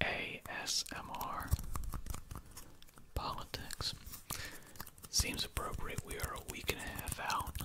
ASMR politics. Seems appropriate. We are a week and a half out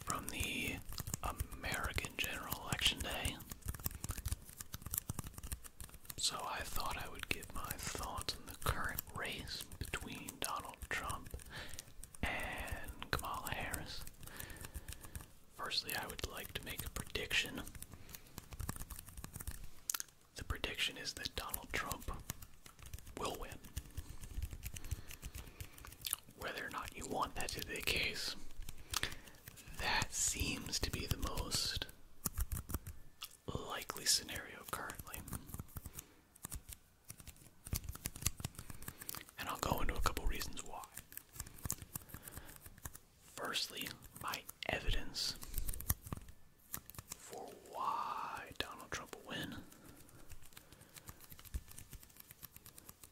from the American General Election Day. So I thought I would give my thoughts on the current race between Donald Trump and Kamala Harris. Firstly, I would like to make a prediction. The prediction is that Donald Trump will win. Whether or not you want that to be the case, that seems to be the most likely scenario currently. And I'll go into a couple reasons why. Firstly, my evidence for why Donald Trump will win.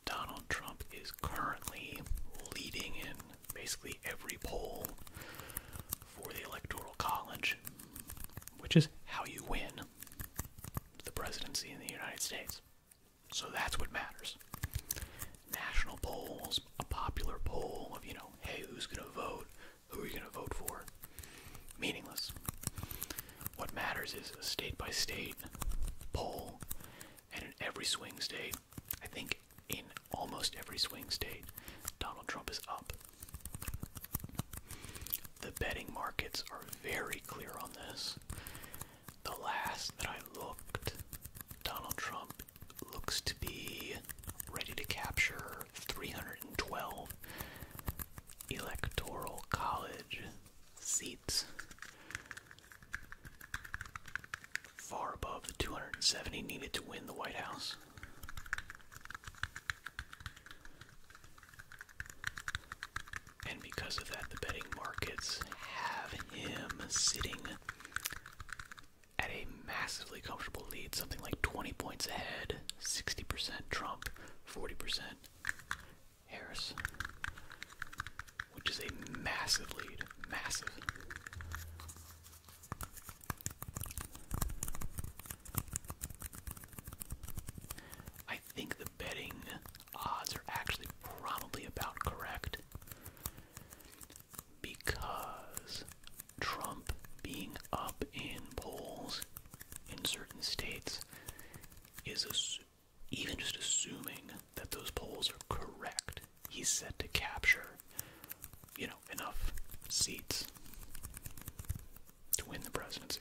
Donald Trump is currently leading in basically every poll for the Electoral College, which is how you win the presidency in the United States. So that's what matters. National polls, a popular poll of, you know, hey, who's going to vote? Who are you going to vote for? Meaningless. What matters is a state by state poll, and in every swing state, I think in almost every swing state, Donald Trump is up. The betting markets are very clear on this the last that I looked, Donald Trump looks to be ready to capture 312 electoral college seats, far above the 270 needed to win the White House. And because of that, the betting markets have him sitting at a massively comfortable lead, something like 20 points ahead, 60% Trump, 40% Harris, which is a massive lead, massive. I think the betting odds are actually probably about correct because Trump being up in polls in certain states is even just assuming that those polls are correct. He's set to capture, you know, enough seats to win the presidency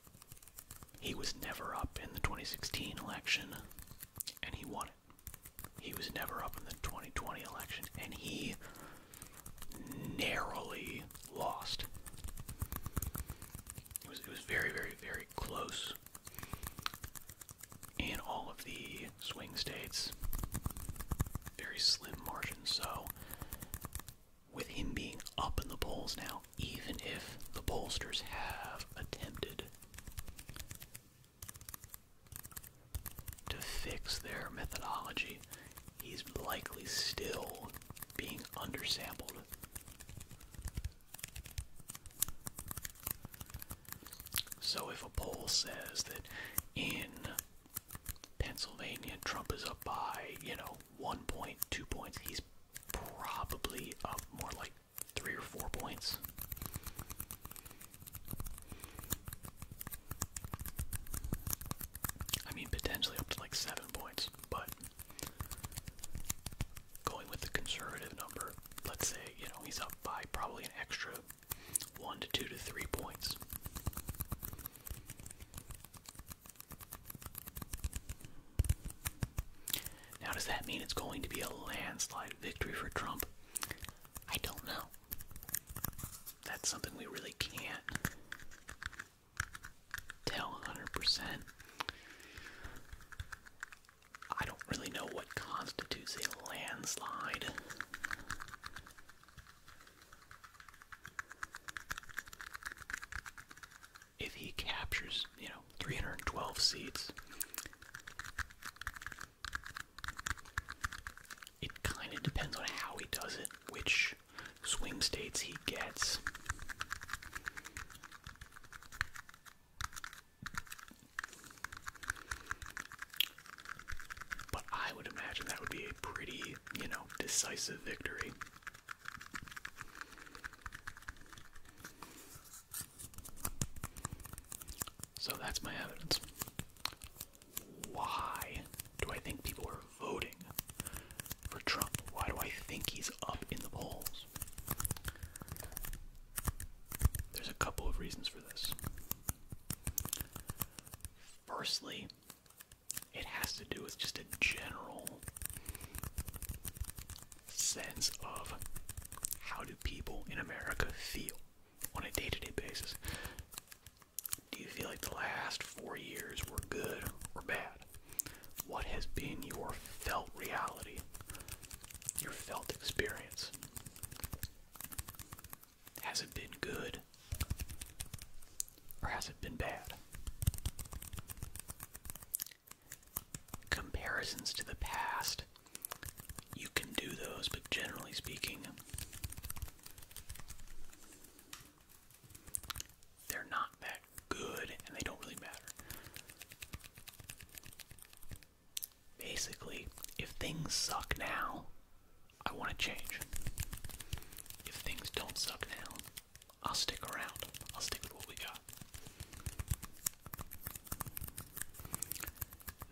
He was never up in the 2016 election, and he won it. He was never up in the 2020 election, and he narrowly lost. It was, very, very, very close in all of the swing states. Very slim margins, so with him being up in the polls now, even if the pollsters have attempted to fix their methodology, he's likely still being undersampled. So if a poll says that in Pennsylvania Trump is up by, you know, one point, two points. He's probably up more like three or four points. I mean, potentially up to like seven points, but going with the conservative number, let's say, you know, he's up by probably an extra one to two to three points. Now, does that mean it's going to be a landslide victory for Trump? I don't know. That's something we really can't tell 100%. I don't really know what constitutes a landslide if he captures, you know, 312 seats, it kind of depends on how he does it, which swing states he gets. But I would imagine that would be a pretty, you know, decisive victory. So that's my evidence. Why do I think people are voting for Trump? Why do I think he's up in the polls? There's a couple of reasons for this. Firstly, it has to do with just a general sense of how do people in America feel on a day-to-day basis. Do you feel like the last four years were good or bad? What has been your felt reality, your felt experience? Has it been good? Or has it been bad? Comparisons to the past. You can do those, but generally speaking, they're not that good and they don't really matter. Basically, if things suck now, I want to change. If things don't suck now, I'll stick around. I'll stick with what we got.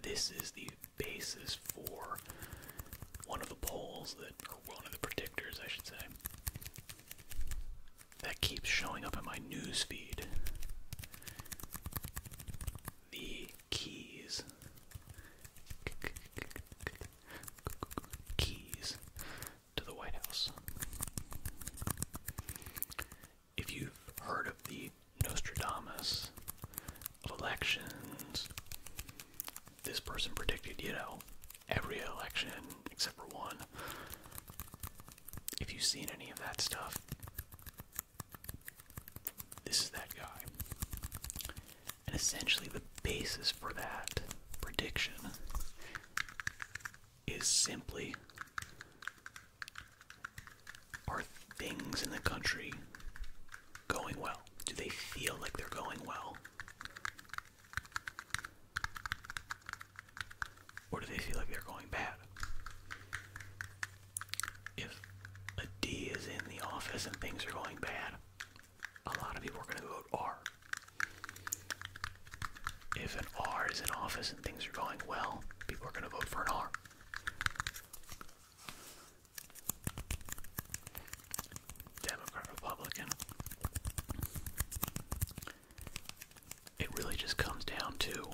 This is the basis for one of the polls that, or one of the predictors, I should say, that keeps showing up in my news feed. The keys. Keys to the White House. If you've heard of the Nostradamus elections, this person predicted, you know, every election except for one. If you've seen any of that stuff, this is that guy. And essentially, the basis for that prediction is simply are things in the country going well? Do they feel like they're going well? Or do they feel like they're going bad? If a D is in the office and things are going bad, a lot of people are going to vote R. If an R is in office and things are going well, people are going to vote for an R. Democrat, Republican. It really just comes down to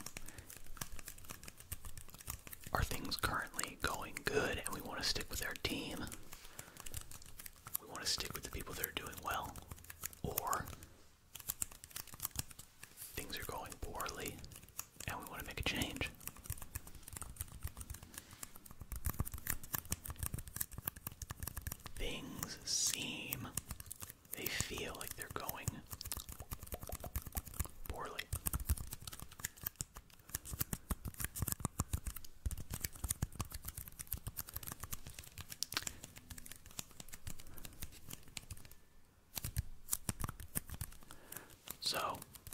are things currently going good and we want to stick with our team? we want to stick with the people that are doing well, or things are going poorly and we want to make a change. Things seem, they feel like they're going poorly. So,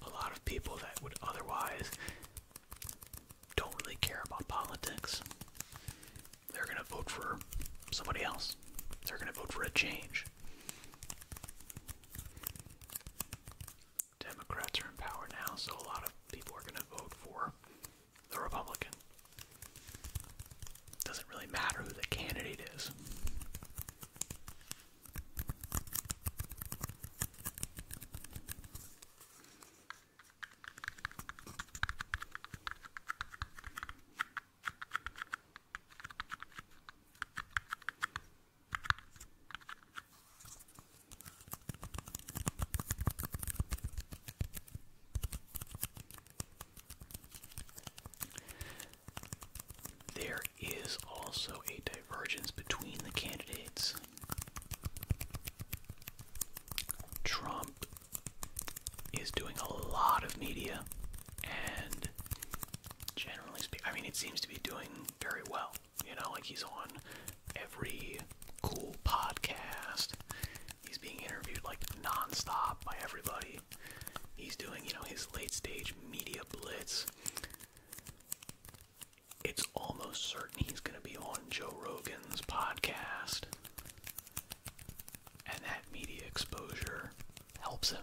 a lot of people that would otherwise don't really care about politics, they're going to vote for somebody else. They're going to vote for a change. Democrats are in power now, so a lot of people are going to vote for the Republican. Doesn't really matter who the candidate is. There is also a divergence between the candidates. Trump is doing a lot of media and generally speaking, I mean, it seems to be doing very well. You know, like he's on every cool podcast. He's being interviewed like nonstop by everybody. He's doing, you know, his late stage media blitz. It's almost certain he's going to be on Joe Rogan's podcast. And that media exposure helps him.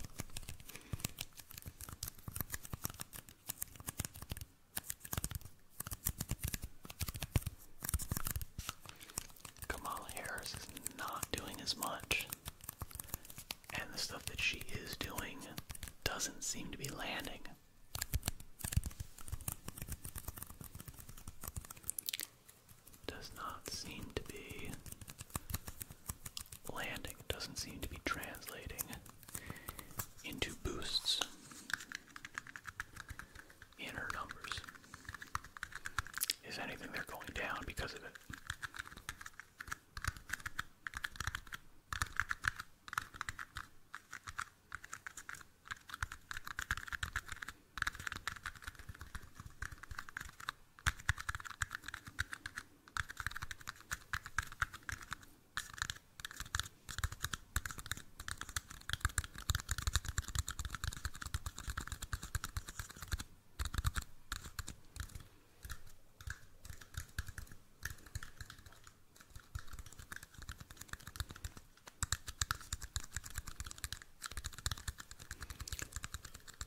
Kamala Harris is not doing as much. And the stuff that she is doing doesn't seem to be landing. Does not seem to be landing, doesn't seem to be translating into boosts in numbers. Is anything they're going down because of it?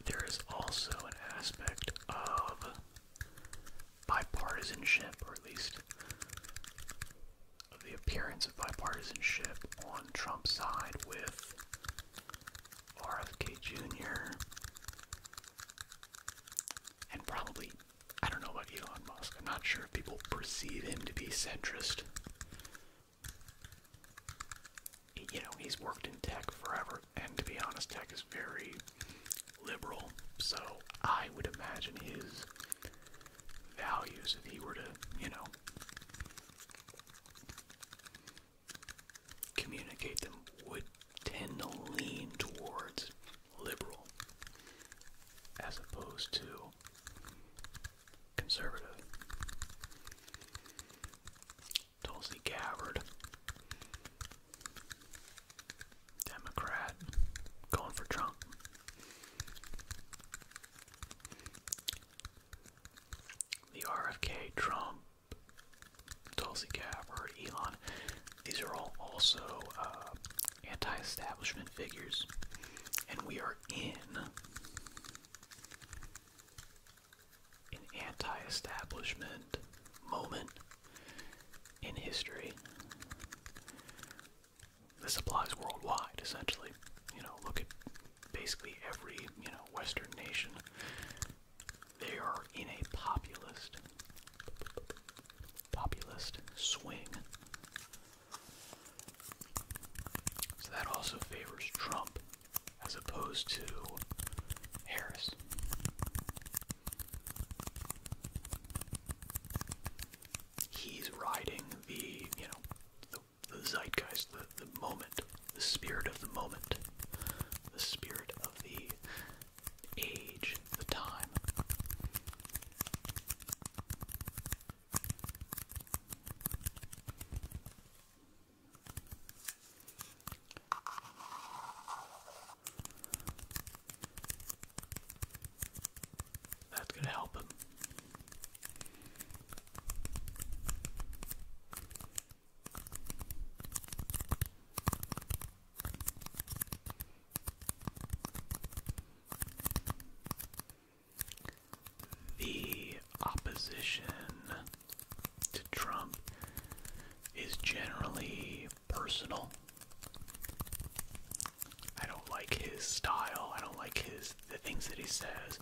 There is also an aspect of bipartisanship, or at least of the appearance of bipartisanship on Trump's side with RFK Jr. and probably, I don't know about Elon Musk. I'm not sure if people perceive him to be centrist. You know, he's worked in tech forever, and to be honest, tech is very liberal, so I would imagine his values if he were to, you know, communicate them, would tend to lean towards liberal as opposed to conservative. Tulsi Gabbard, Democrat, going for Trump. The RFK, Trump, Tulsi Gabbard, Elon, these are all also uh, anti establishment figures. And we are in an anti establishment moment in history. This applies worldwide, essentially. You know, look at basically every, you know, Western nation. They are in a populist, populist swing. So that also favors Trump as opposed to Harris he's riding the you know the, zeitgeist, the, the moment, the spirit of the moment, the spirit of the age, the time. That's gonna help him. The opposition to Trump is generally personal. I don't like his style. I don't like his the things that he says.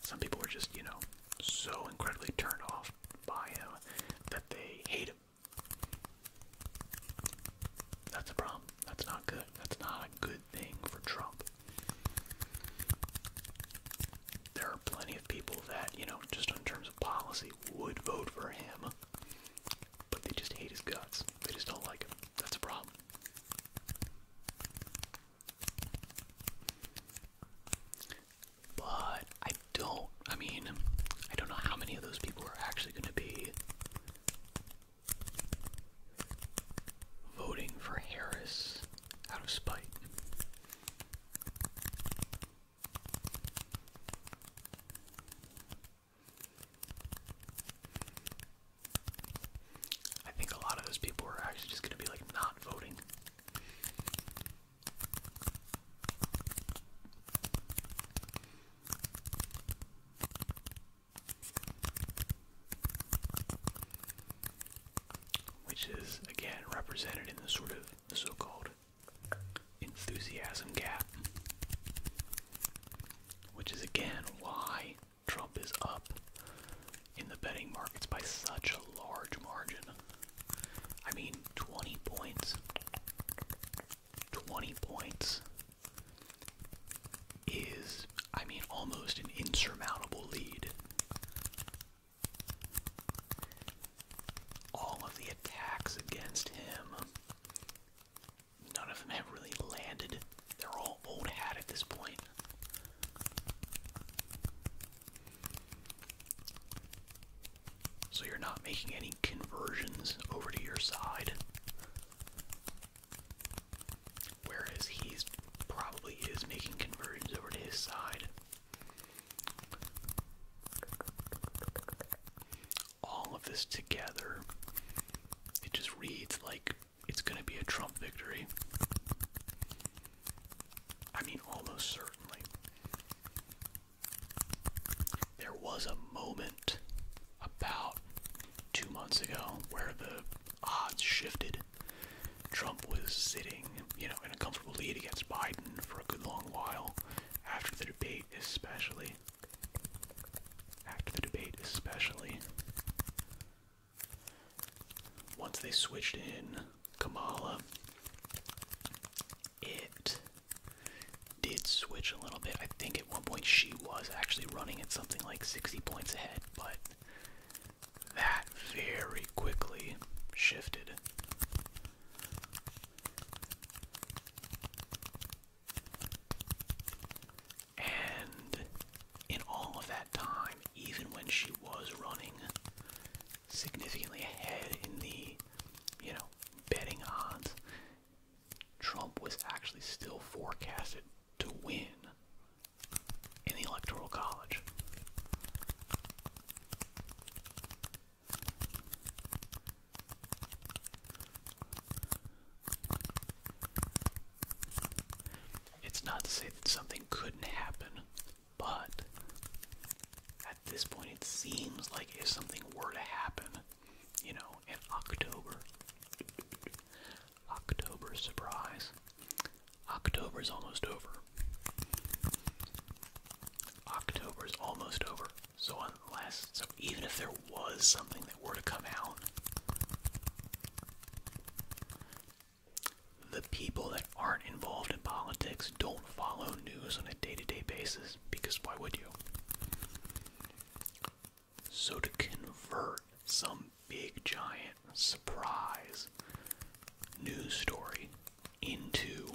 Some people are just, you know, so incredibly turned off by him that they hate him. That's a problem. That's not good. That's not a good thing for Trump. There are plenty of people that, you know, just in terms of policy, would vote for him, but they just hate his guts. They just don't like him. That's a problem. But I don't, I mean, I don't know how many of those people are actually going to be voting for Harris out of spite. I think a lot of those people are actually just going to be like not voting. Which is again represented in the sort of so-called enthusiasm gap, which is again why Trump is up in the betting markets by such a large margin. I mean, 20 points. 20 points is, I mean, almost an insurmountable lead. All of the attacks against him none of them have really landed. They're all old hat at this point. So you're not making any conversions over to your side. Whereas he's probably is making conversions over to his side all of this together, it just reads like it's going to be a Trump victory. I mean, almost certainly. There was a moment about two months ago where the odds shifted. Trump was sitting, you know, in a comfortable lead against Biden for a good long while after the debate, especially especially. the debate, especially. Once they switched in Kamala, it did switch a little bit. I think at one point she was actually running at something like 60 points ahead, but that very quickly shifted. And in all of that time, even when she was running significantly ahead in the, you know, betting odds, Trump was actually still forecasted to win in the Electoral College. It's not to say that something couldn't happen, but at this point it seems like if something were to happen, you know, in October, October surprise, October is almost over. October is almost over. So, on less. So even if there was something that were to come out, the people that aren't involved in politics don't follow news on a day to day basis because why would you? So to convert some big giant surprise news story into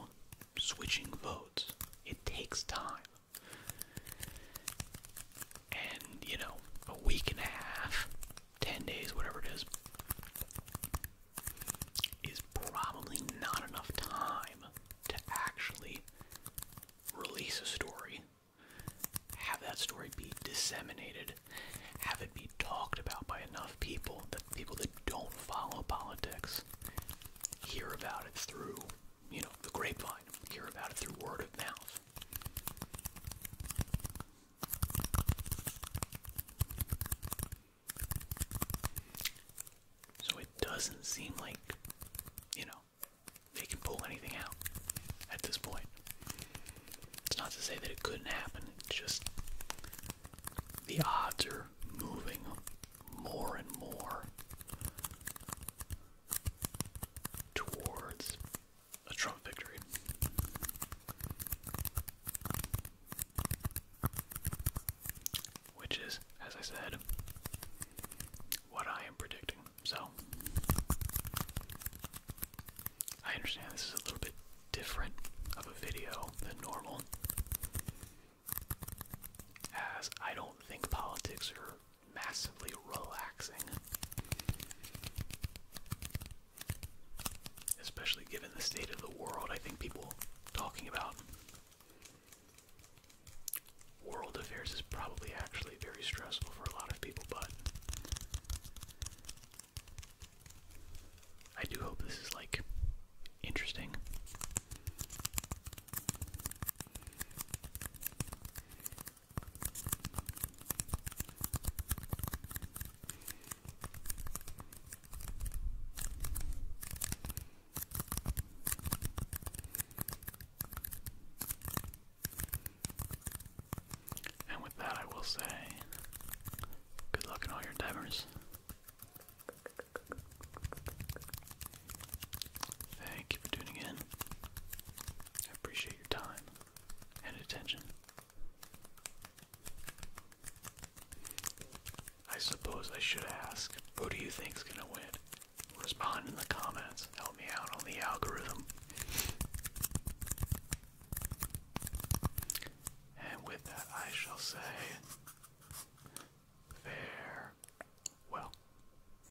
switching votes, it takes time. And, you know, a week and a half, 10 days, whatever it is, is probably not enough time to actually release a story, have that story be disseminated, have it be talked about by enough people that people that don't follow politics hear about it through you know, the grapevine, hear about it through word of mouth. So it doesn't seem like, you know, they can pull anything out at this point. It's not to say that it couldn't happen, it's just the odds are moving more and more towards a Trump victory. Which is, as I said, what I am predicting. So, I understand this is a little bit different of a video than normal, as I don't think politics are massively relaxing. Especially given the state of the world, I think people talking about world affairs is probably actually very stressful for a lot of people, but I do hope this is like interesting. And with that, I will say good luck in all your endeavors. Thank you for tuning in. I appreciate your time and attention. I suppose I should ask, who do you think's gonna win? Respond in the comments. Help me out on the algorithm. And with that, I shall say, farewell.